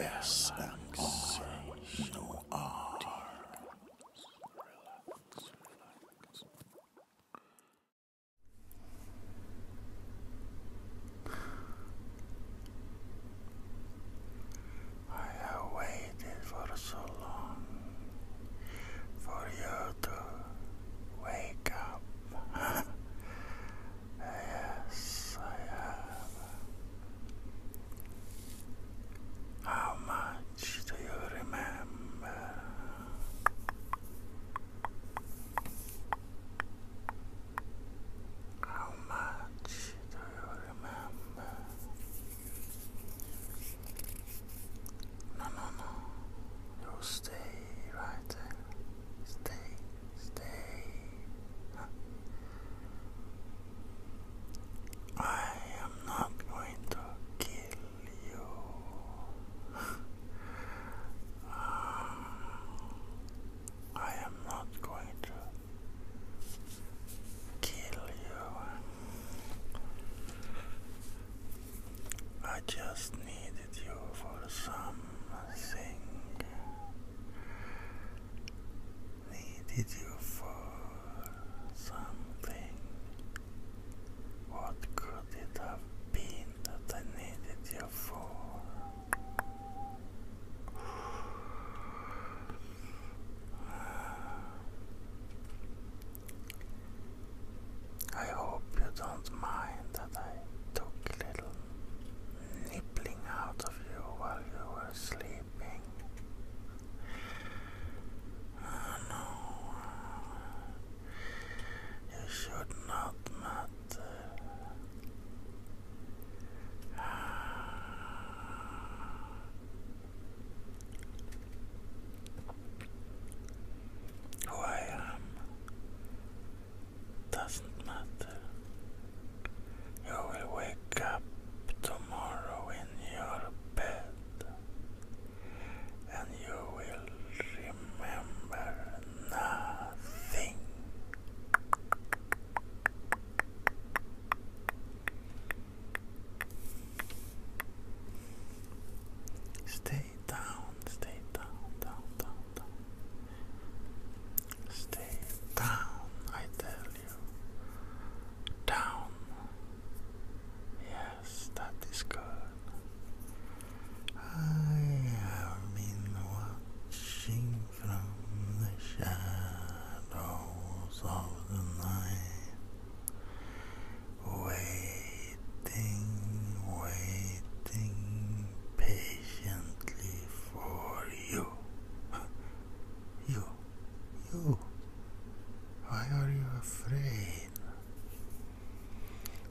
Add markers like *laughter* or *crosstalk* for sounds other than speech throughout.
ASMR. No R. I have waited for so long for you to wake up. Yes, I have. How much do you remember? How much do you remember? No, no, no. You stay right there stay, stay. I am not going to kill you. I am not going to kill you. I just needed you for some thing needed you for something. What could it have been that I needed you for? I hope you don't mind that I took a little nibbling out of you while you were sleeping. Oh no, you should not, Matt who I am doesn't matter. You will wake up tomorrow in your bed and you will remember nothing. Stay down, stay down, down, down, down. Stay down, I tell you. Down. Yes, that is good. I have been watching from the shadows of the night waiting, waiting patiently for you. *laughs* You, you, why are you afraid?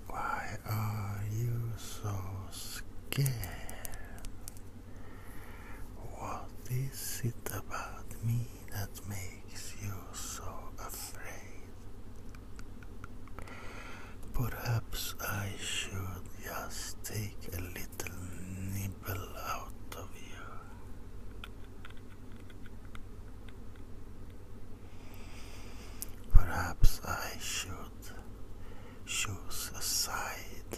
Why are you so scared? What is it about me that makes you so afraid? Perhaps I should just take a little nibble out of you. Perhaps I should choose a side.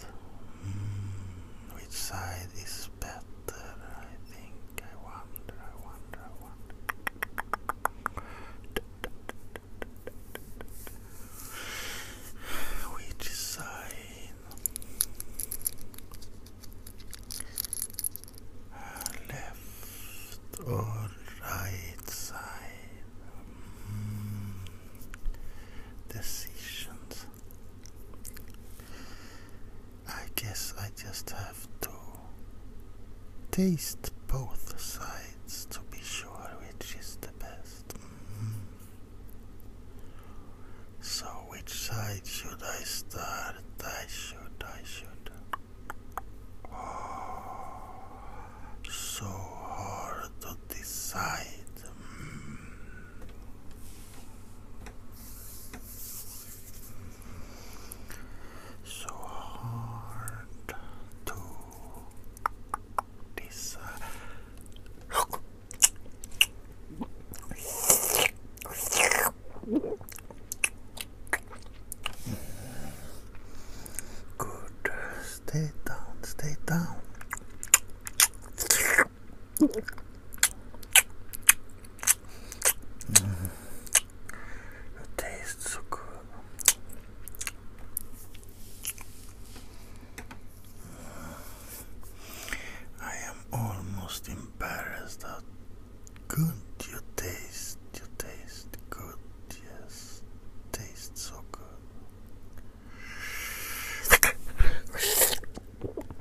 Hmm, which side is better? I think. I wonder, I wonder, which side? Left or right side? Hmm. Decisions. I guess I just have to taste both sides to be sure which is the best. Mm-hmm. So, which side should I start? I should, I should. Oh, so hard to decide. Mm so hard to decide. Good. Stay down, stay down. It tastes so good. I am almost embarrassed how good you taste. You taste good, yes. Tastes so good.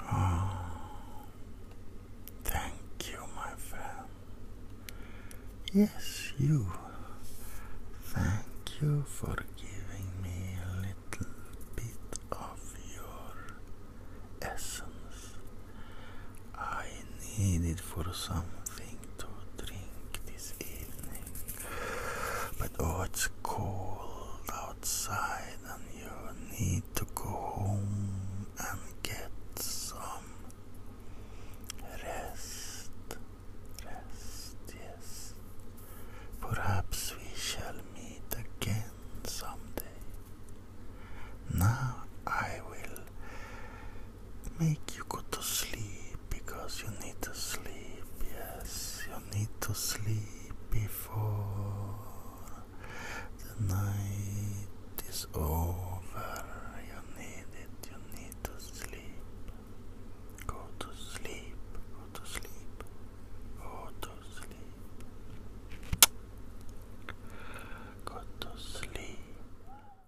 Oh, thank you, my friend. Yes, you. Thank you for giving me a little bit of your essence. I need it for something to drink this evening. But oh, it's cold outside, and you need to go home and get some rest. Rest, yes. Perhaps we shall meet again someday. Now I will make you go to sleep because you need to sleep. Yes, you need to sleep before the night is over. You need it, you need to sleep. Go to sleep, go to sleep, go to sleep. Go to sleep.